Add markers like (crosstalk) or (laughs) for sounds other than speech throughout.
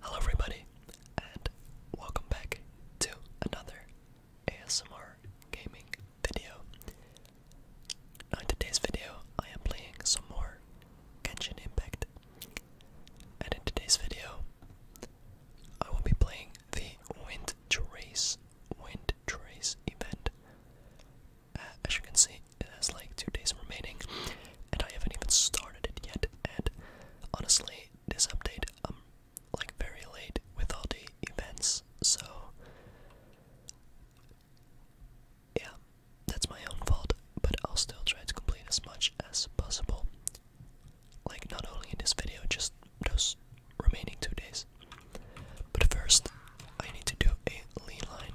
Hello, everybody, and welcome back to another ASMR gaming video. in today's video, I am playing some more Genshin Impact, and in today's video, I will be playing the Wind Trace Wind Trace event as you can see, it has like two days remaining, and I haven't even started it yet. And honestly, this update, I'm like very late with all the events, so yeah, that's my own fault. But I'll still try to complete as much as possible. Like, not only in this video, just those remaining two days. But first, I need to do a lean line.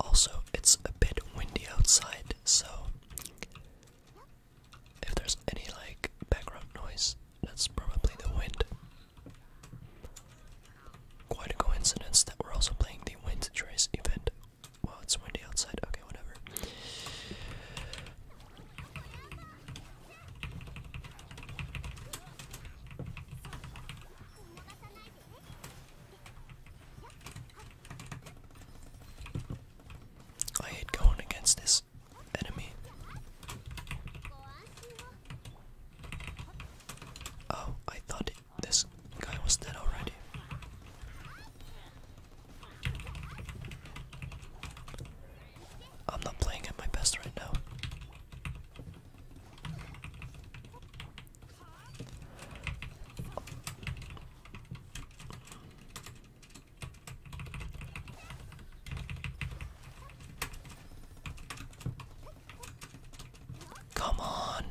Also, it's a bit windy outside, so if there's any like background noise, that's probably the wind. Quite a coincidence that we're also playing the Wind Trace event well, it's windy outside. Okay, whatever. I hate going against this enemy. Oh, I thought this guy was dead already. I'm not playing at my best right now. Come on.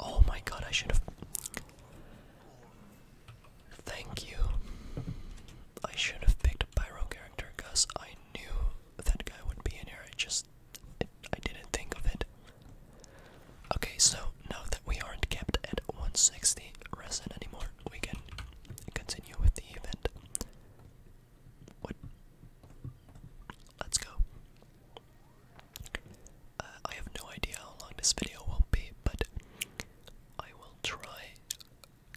Oh my god, I should have. Thank you. I should have picked a pyro character because I knew that guy would be in here. I just. I didn't think of it. Okay, so now that we aren't kept at 160 resin anymore, we can continue with the event. Let's go. Uh, I have no idea how long this video will be, but I will try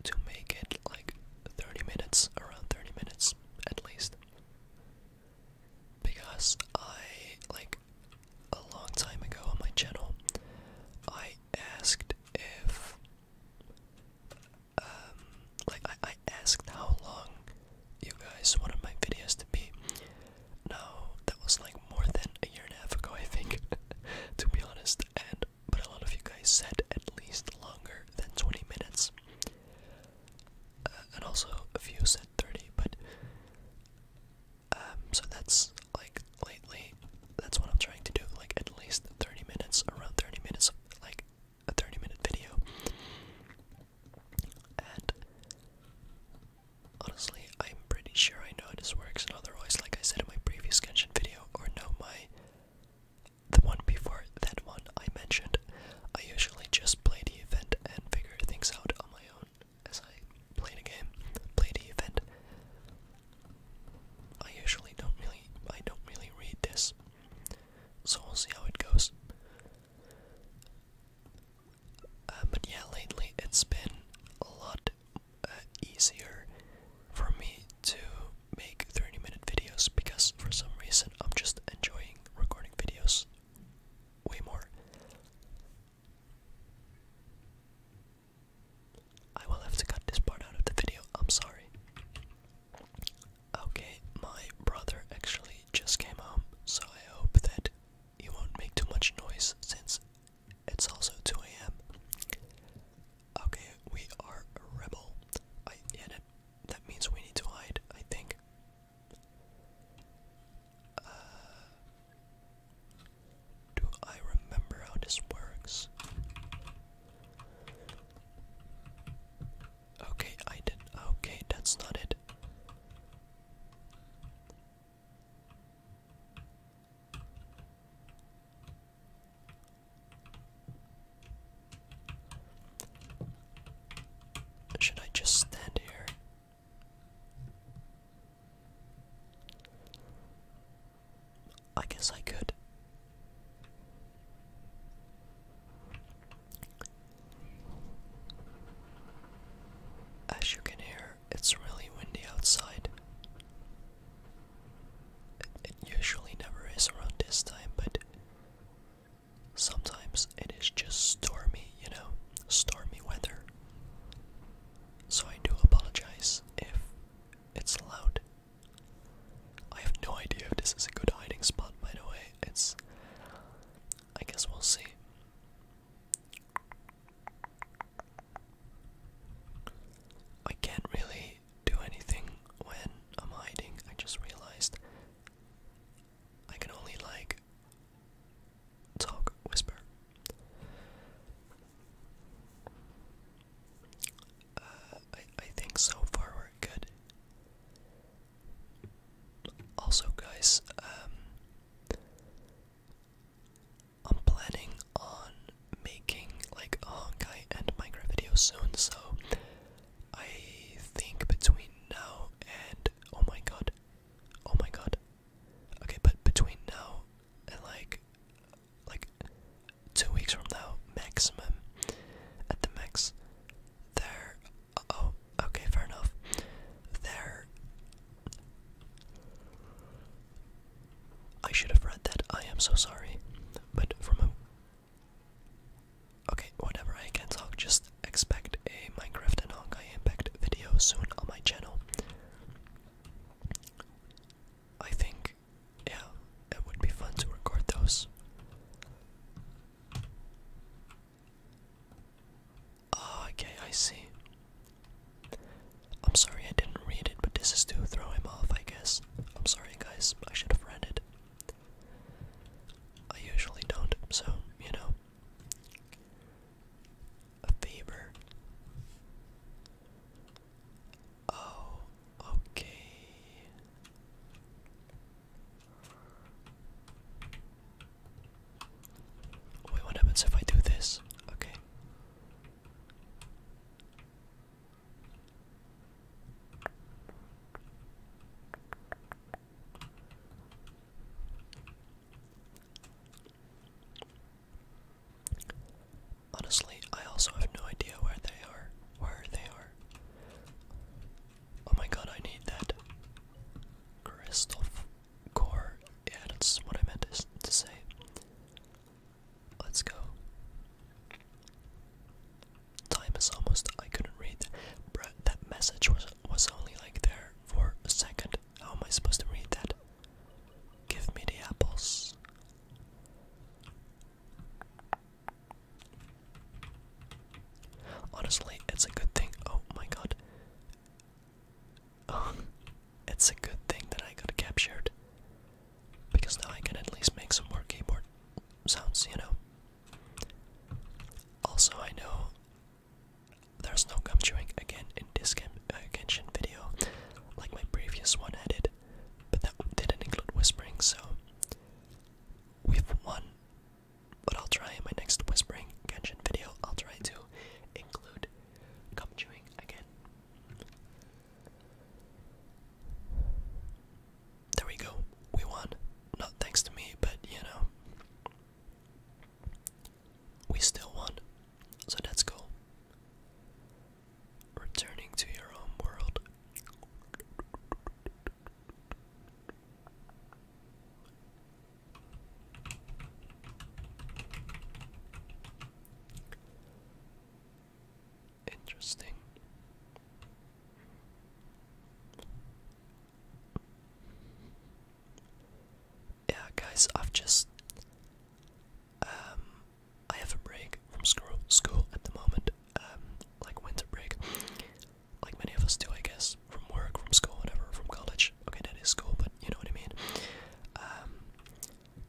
to make it like 30 minutes, around 30 minutes at least. Because I, like, a long time ago on my channel, I asked if um, like I, asked how long you guys wanted my videos to be. Now that was like more than a year and a half ago, I think, (laughs) to be honest. And but a lot of you guys said at least longer than 20 minutes, uh, and also a few said 30. But um, so that's like lately, that's what I'm trying to do. Like at least 30 minutes, around 30 minutes, like a 30 minute video. And honestly, I'm pretty sure I know how this works. And otherwise, like I said in my previous Genshin video, or know my the one before that one I mentioned, I usually just play the event and figure things out on my own as I play the game, play the event, I usually don't really I don't really read this. So we'll see how it goes. Uh, but yeah, lately it's been a lot uh, easier for me to make 30 minute videos because for some reason I'm just enjoying recording videos way more. I will have to cut this part out of the video, I'm sorry. Okay, my brother actually just came home, so I hope that he won't make too much noise since it's also 2 a.m. Okay, we are a rebel. yeah, that, means we need to hide, I think. Uh, do I remember how this works? Okay, I did. Okay, that's not it. Should I just stand here? I guess I could. As you can hear, it's really windy outside. It, usually never is around this time, but sometimes it is just stormy, you know, stormy weather. So I do apologize if it's loud. I have no idea if this is a good hiding spot, by the way. It's. I guess we'll see. I can't really do anything when I'm hiding. I just realized I can only like talk, whisper. Uh, I, I think so far we're good. Also, guys, um, I'm planning on making like a Honkai and Minecraft video soon, so I think between now and oh my god, oh my god, okay, but between now and like like two weeks from now, maximum. At the max, there. oh, okay, fair enough. There. I should have read that. I am so sorry. But from a. Okay, whatever, I can talk. Just expect a Minecraft and Honkai Impact video soon on my channel. I think yeah, it would be fun to record those. Ah, okay, I see. I'm sorry I didn't read it, but this is to throw him off, I guess. I'm sorry, guys, I should have read it. I usually don't, so, you know a favor. Oh, okay. Wait, what happens if I do this? Okay. Honestly, I also have no idea where they are. Where they are. Oh my god, I need that Christoph, core. Yeah, that's what I meant to, say. Let's go. Time is almost. I couldn't read. Bruh, that message was was only like there for a second. How am I supposed to read that? Give me the apples. Honestly, it's a good thing. Oh my god. (laughs) it's a good thing that I got captured. Because now I can at least make some more keyboard sounds, you know. Also, I know there's no gum chewing again in this game, uh, Genshin video like my previous one added, but that didn't include whispering, so we've won. But I'll try in my next whispering Genshin video, I'll try to include gum chewing again. There we go, we won. Not thanks to me, but you know. We still won, so that's cool. Returning to your own world. Interesting. Yeah, guys, I've just um, I have a break from school, school at the moment, um, like winter break, like many of us do, I guess, from work, from school, whatever, from college. Okay, that is school, but you know what I mean. Um,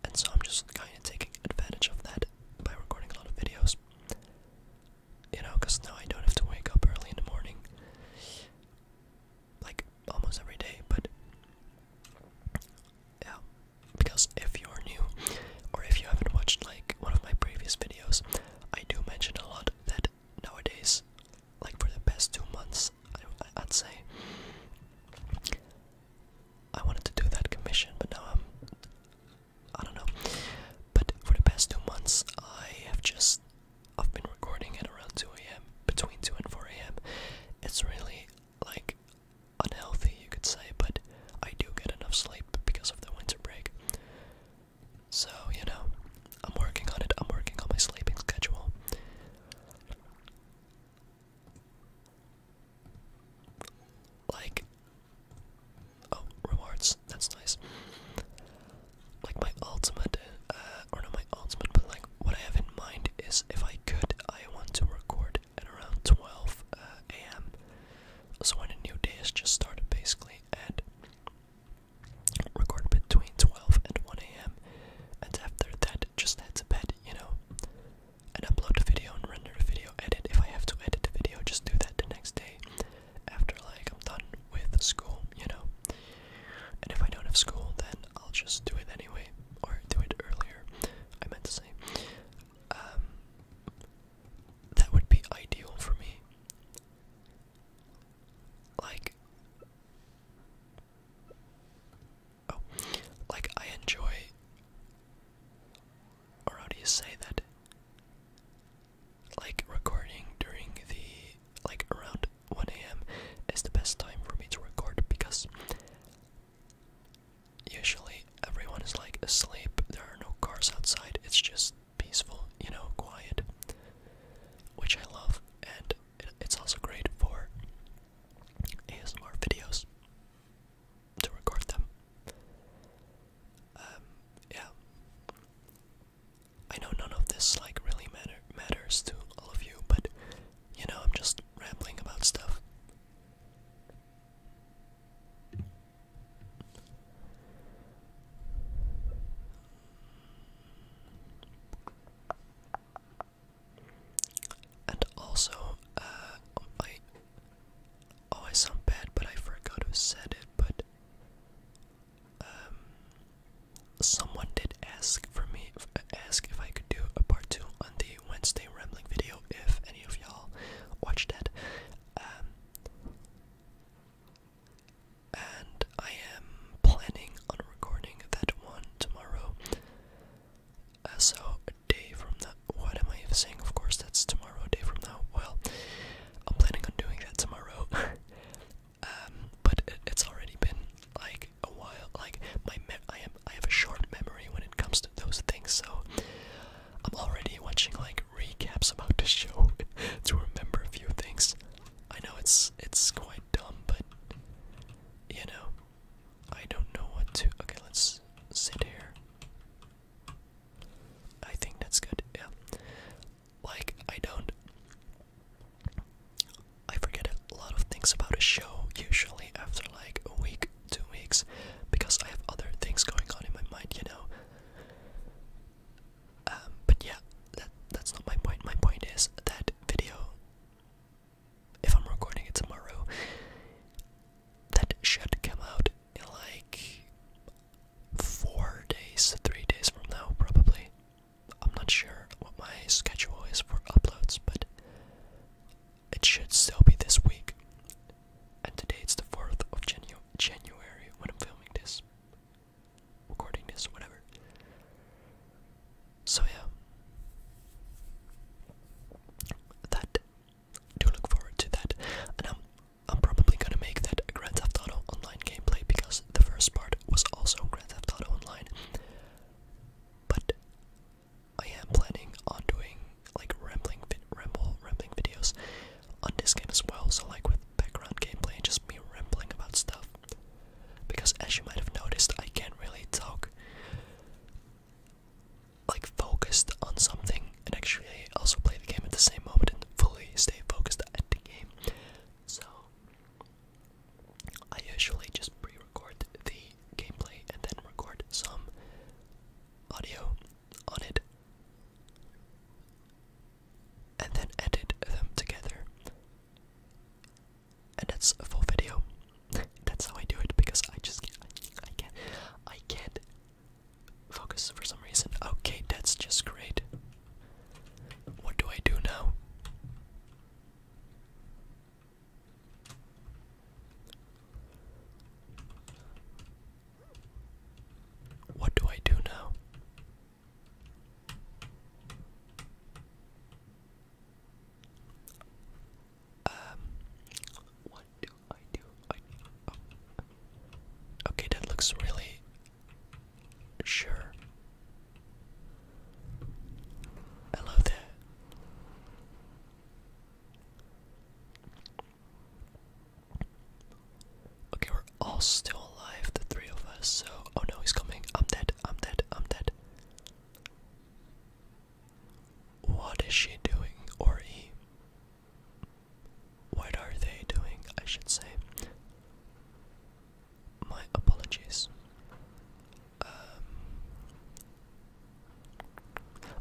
and so I'm just kind of taking advantage of that by recording a lot of videos. You know, because now I don't have to wake up early in the morning, like almost every day, but yeah, because if you're new, or if you haven't watched like one of my previous videos, I do mention a lot that nowadays, like for the past two months, I, I'd say, I wanted to do that commission, but now I'm, I don't know, but for the past two months, I have just, I've been recording at around 2 a.m., between 2 and 4 a.m., it's really, like, unhealthy, you could say, but I do get enough sleep because of the winter break. So, you know, I'm working on it, I'm working on my sleeping schedule. Like, oh, rewards, that's nice. Like, my ultimate, uh, or not my ultimate, but like, what I have in mind is if I could, I want to record at around 12 uh, a.m. So when a new day has just started, basically, and record between 12 and 1 a.m. And after that, just head to bed, you know, and upload a video and render a video, edit. If I have to edit a video, just do that the next day after, like, I'm done with school, you know. And if I don't have school, then I'll just do it anyway, or do it earlier. I meant to say. Um, that would be ideal for me. Like, oh, like I enjoy, or how do you say that? Like recording during the, like around 1 a.m. is the best time for me to record because Usually everyone is like asleep, there are no cars outside, it's just peaceful, you know, quiet, which I love, and it's also great for ASMR videos to record them. Um, yeah. I know none of this like really matters to all of you, but you know, I'm just rambling about stuff. And also, uh, oh, I, oh, I sound bad, but I forgot who said it, but, um, someone did ask for me, ask if I could do a part two on the Wednesday rambling video if any of y'all watched that. Um, and I am planning on recording that one tomorrow. Uh, so day from now, what am I saying? Of course, that's tomorrow. day from now. Well, I'm planning on doing that tomorrow. (laughs) Um, but it's already been like a while. Like my I am I have a short memory when it comes to those things, so I'm already watching like recaps about the show (laughs) to remember a few things. I know it's it's quite dumb, but you know, I don't know what to. Okay, let's sit here. I think that's good. Yeah. Like I don't I forget a lot of things about a show usually after like a week, two weeks, because I have other things going on in my mind, you know. Um, but yeah, that that's not my point. My point is that video. If I'm recording it tomorrow, that should come out in like four days, three days from now, probably. I'm not sure what my schedule is for uploads, but it should still be this week. And today it's the 4th of Janu January when I'm filming this. Recording this, whatever. So, yeah. That. Do look forward to that. And I'm, I'm probably gonna make that Grand Theft Auto Online gameplay because the first part was also Grand Theft Auto Online. But I am planning on doing like rambling, ramble, rambling videos on this game as well. So like with background gameplay and just me rambling about stuff. Because as you might have noticed, I can't really talk like focused on something and actually also play the game at the same moment and fully stay focused at the game. So I usually just pre record the gameplay and then record some audio on it and then edit them together. And that's a full video. that's how I do it because I just I can't I can't focus for some reason. Okay, that's just great. What do I do now? What do I do now? Um, what do I do? Oh. Okay, that looks really sure. Hello there. Okay, we're all still alive, the three of us, so. Oh no, he's coming. I'm dead, I'm dead, I'm dead. What is she doing, or he? What are they doing, I should say? My apologies. Um,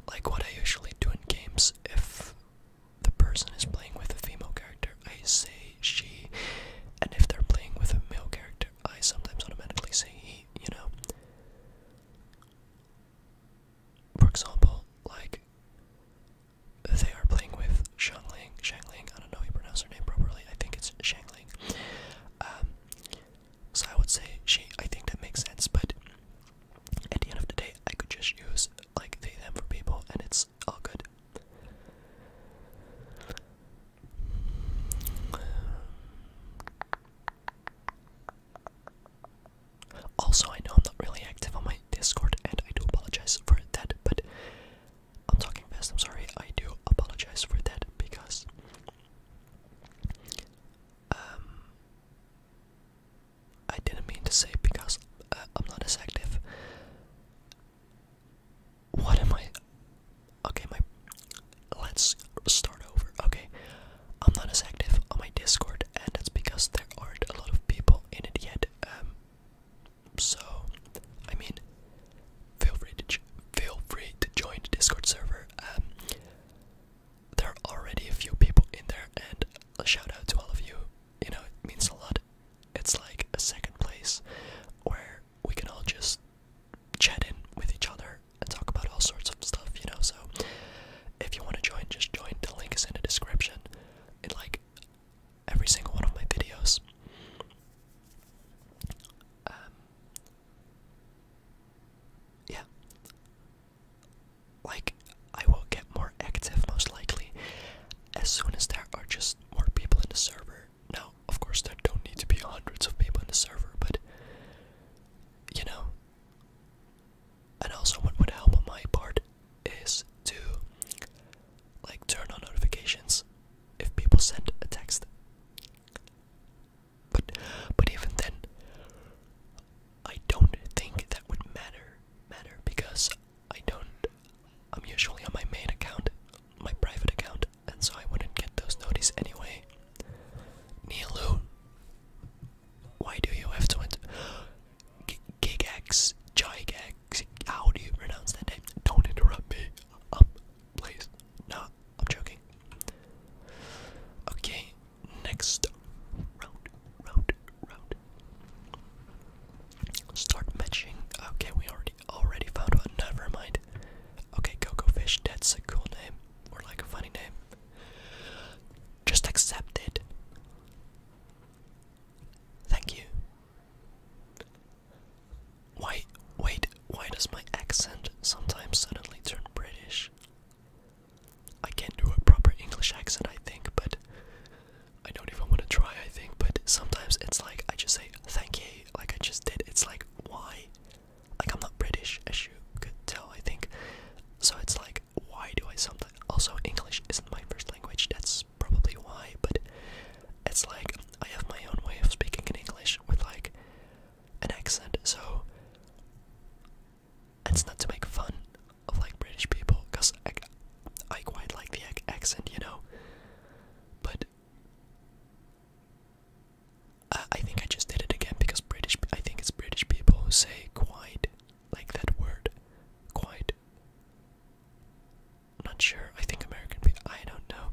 like what I usually do in games if the person is playing with a female character, I say she, and if they're playing with a male character, I sometimes automatically say he, you know. For example, like they are playing with Shangling, Shangling, I don't know how you pronounce her name properly, I think it's Shangling. Um, so I would say she. I think that makes sense. But at the end of the day, I could just use like they them for people, and it's all good. Also, I know I'm not really active on my Discord, and I do apologize for that. But I'm talking fast. I'm sorry. I do apologize for that because um, I didn't mean to say because uh, I'm not as active. What am I? Okay, my. Let's start over. Okay, I'm not as active on my Discord, and that's because there aren't a lot of people in it yet. Um, so, I mean, feel free to feel free to join the Discord server. Um, there are already a few people in there, and a shout out to all of you. You know, it means a lot. It's like a second place where we can all just chat in with each other and talk about all sorts of stuff. You know, so if you want to join, just join. The link is in the description. In like every single one of my videos. Um, yeah. Like, I will get more active most likely as soon as there are just more people in the server. Now, of course, there don't need to be hundreds of people in the server, but you know. And also, what would help on my part is to like turn on notifications if people send a text. But but even then I don't think that would matter matter because I don't I'm usually on my main account, my private account, and so I wouldn't get those notices anyway. Nilu Why do you have to enter G Gigax Gigax how do you pronounce that name? Don't interrupt me. Um please. Not I'm joking. Okay, next round, round, round. Start matching. Okay, we already already found one. Never mind. Okay, Coco Fish. That's a cool name, or like a funny name. Just accept it. Thank you. Why, wait, why does my accent sometimes suddenly turn British? I can't do a proper English accent, I think, but I don't even want to try, I think, but sometimes it's like I just say thank you, like I just did. It's like, why? Like, I'm not British, as you could tell, I think. So it's like, why do I sometimes. Also, English isn't my first language, that's probably why, but it's like I have my own way of speaking in English with like an accent, so it's not to make fun of like British people, cause I, I quite like the accent, you know. But I, think I just did it again because British. I think it's British people who say quite like that word, quite. Not sure. I think American people. I don't know.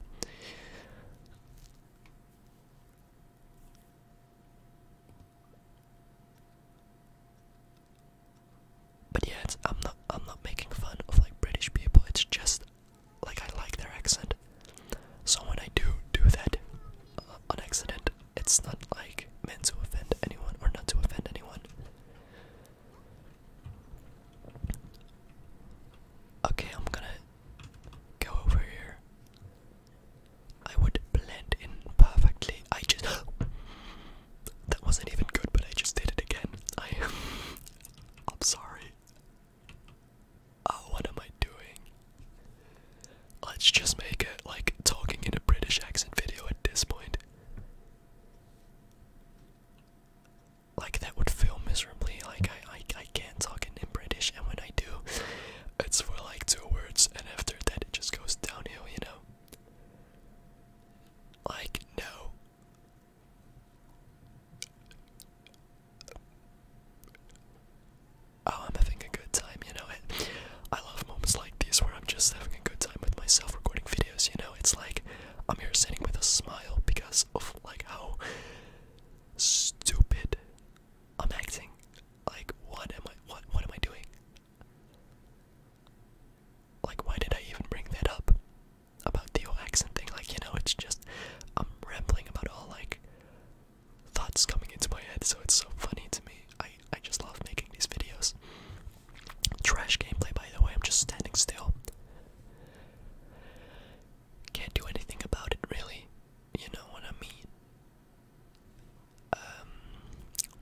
But yeah, it's, I'm not I'm not making fun of like British people. It's just like I like their accent. So when I do do that uh, on accident, it's not like meant to offend anyone or not to offend anyone. Okay, I'm gonna Go over here. I would blend in perfectly. I just. (gasps) that wasn't even good, but I just did it again. I am. (laughs) I'm sorry. Oh, what am I doing? Let's just make a, like, talking in a British accent video at this point. Like, that would feel miserably. Like, I, I, I can't can't talk in British, and when I do, it's for like two words, and after that, it just goes downhill, you know? Like, no. Oh, I'm having a good time, you know? And I love moments like these where I'm just having a good time with myself recording videos, you know? It's like I'm here sitting with a smile because of like how stupid. I'm acting like what am I what what am I doing? Like why did I even bring that up? About the whole accent thing, like you know, it's just I'm rambling about all like thoughts coming into my head, so it's so funny to me. I I just love making these videos. Trash gameplay by the way, I'm just standing still can't do anything about it really. You know what I mean? Um,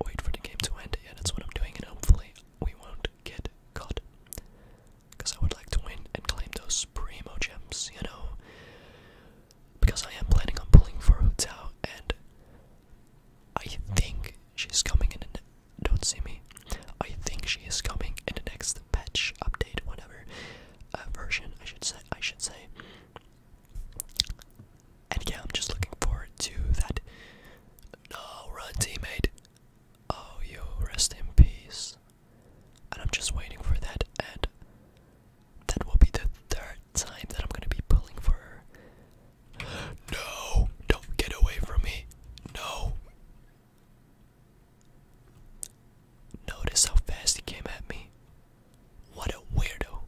wait for the game to end. Yeah, that's what I'm doing, and hopefully we won't get caught. Because I would like to win and claim those primo gems, you know? Because I am planning on pulling for Hu and I think she's coming in don't see me. I think she is coming in the next patch update, whatever version, I should say. I should say. And yeah, I'm just looking forward to that. No run, teammate. Oh, you rest in peace. And I'm just waiting for that, and that will be the third time that I'm gonna be pulling for her. (gasps) No, don't get away from me. No, Notice how fast he came at me. What a weirdo.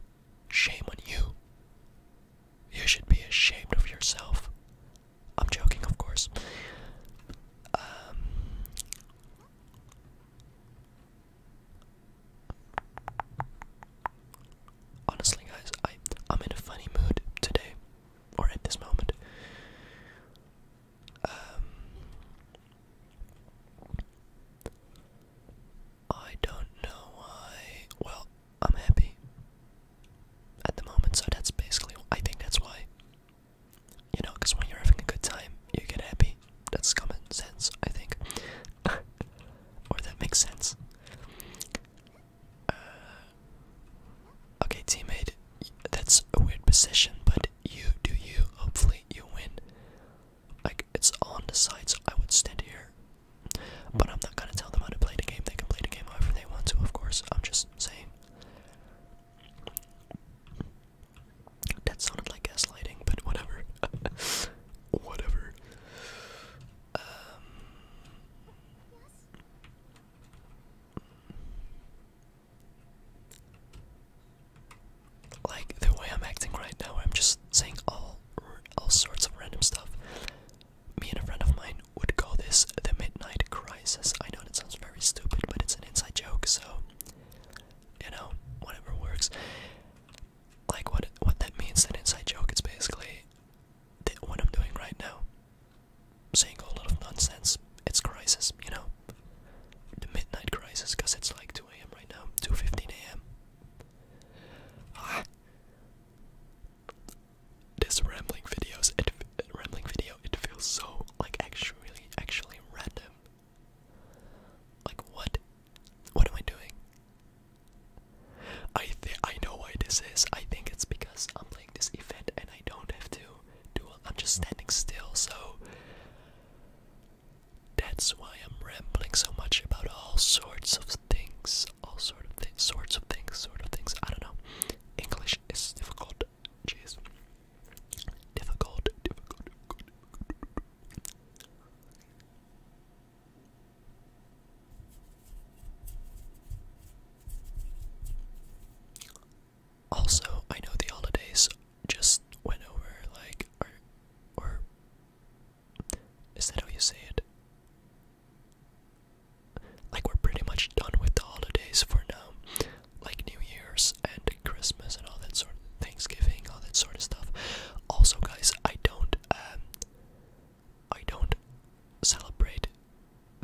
Shame on you. You should be ashamed of yourself. I'm joking, of course. Um, honestly, guys, I, I'm in a funny mood today, or at this moment. Um, I don't know why. Well, I'm happy at the moment, so that's basically. I think that's why. You know, because when you're having a good time, you get happy. That's common sense, I think. (laughs) or that makes sense. Uh, okay, teammate, that's a weird position, but you do you. Hopefully, you win. Like, it's on the site, so I would stand here. But I'm not gonna tell them how to play the game. They can play the game however they want to, of course. I'm just saying. That sounded like gaslighting, but whatever. (laughs) whatever. Um, like the way I'm acting right now, I'm just saying all all sorts of random stuff. Me and a friend of mine would call this the midnight crisis. I know it sounds very stupid, but it's an inside joke, so you know, whatever works. Like what what that means, an inside joke, it's basically the, what I'm doing right now. Saying a lot of nonsense. It's crisis, you know the midnight crisis because it's like 2 a.m. right now, 2:15 a.m. Ah. This rambling videos, rambling video, it feels so like actually, actually random. Like what? What am I doing? I I know why this is. I think it's because I'm playing this event and I don't have to do I'm just standing still, so that's why I'm rambling so much about all sorts of things, all sort of things, sorts of things, sort of things. I don't know. English is difficult. Jeez, difficult. difficult. Also, I know the holidays just went over, like, or, is that how you say it? Like, we're pretty much done with the holidays for now, like New Year's and Christmas and all that sort of Thanksgiving, all that sort of stuff. Also, guys, I don't, um, I don't celebrate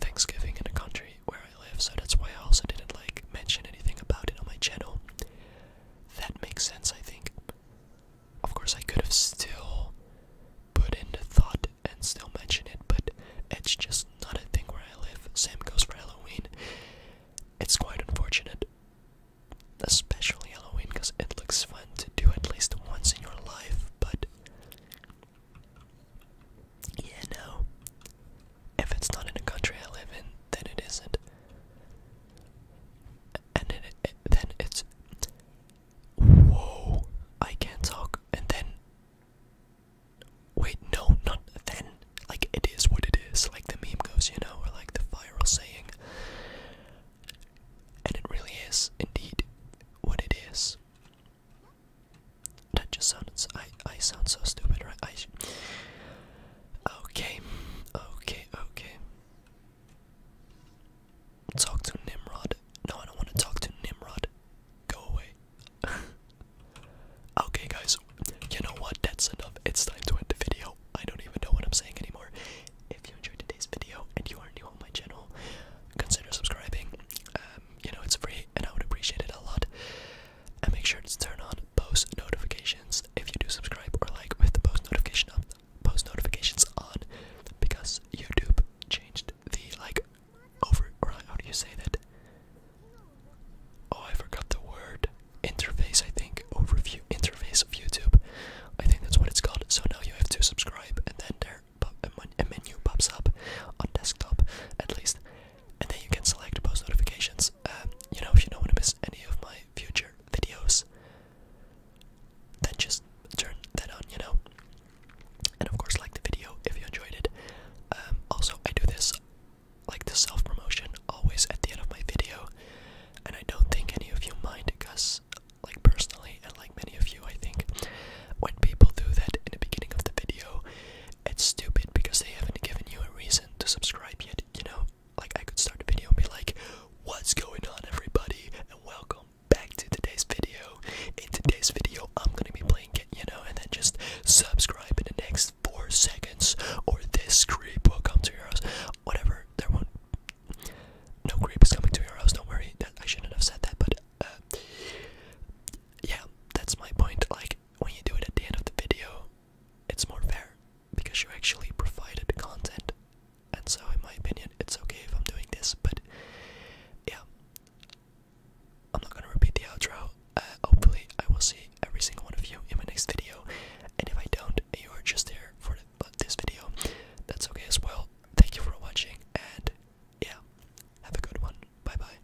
Thanksgiving in a country where live, so that's why I also didn't like mention anything about it on my channel. That makes sense, I think. Of course, I could have still put in the thought and still mention it, but it's just not a thing where I live. Same goes for Halloween. It's quite unfortunate, especially Halloween, because it looks fun to do at least once in your life, but yeah, no. If it's not in a country I live in, then it isn't. And then, it's. Whoa! I can't talk. And then. Wait, no, not then. Like, it is what it is. Like the meme goes, you know, or like the viral saying. And it really is, indeed, what it is. That just sounds. I I sound so stupid, right? I Okay, okay, okay. Talk to Nimrod. No, I don't want to talk to Nimrod. Go away. (laughs) okay, guys. You know what? That's enough. It's time to end the video. I don't even know what I'm saying anymore. If you enjoyed today's video and you are new on my channel, consider subscribing. Um, you know, it's free and I would appreciate it a lot. And make sure to turn on post notifications if you do subscribe or like with the post notification on. Post notifications on because YouTube changed the like over or how do you say that? Oh, I forgot the word interface. I think overview interface of YouTube. I think that's what it's called. So now you have to subscribe, and then there a menu pops up on desktop at least, and then you can select post notifications. Um, you know, if you don't want to miss any of my future videos, then just turn that on, you know. And of course, like the video if you enjoyed it. Um, also, I do this, like the self promotion, always at the end of my video, and I don't think any of you mind because, like, personally, and like many of you, I think, when people do that in the beginning of the video, it's stupid because they haven't given you a reason to subscribe yet, you know? Like, I could start a video and be like, What's going on, everybody? And welcome back to today's video. In today's video, I'm gonna be playing you know, and then just subscribe in the next four seconds, or this creep will come to your house. Whatever, there won't. No creep is coming to your house, don't worry. That, I shouldn't have said that, but uh, yeah, that's my point. Like, when you do it at the end of the video, it's more fair because you actually provided content. And so, in my opinion, it's okay if I'm doing this, but yeah, I'm not gonna repeat the outro. Uh, hopefully, I will see every single one of you in my next video. And if I don't, you are just there for this video, that's okay as well. Thank you for watching, and yeah, have a good one. Bye bye.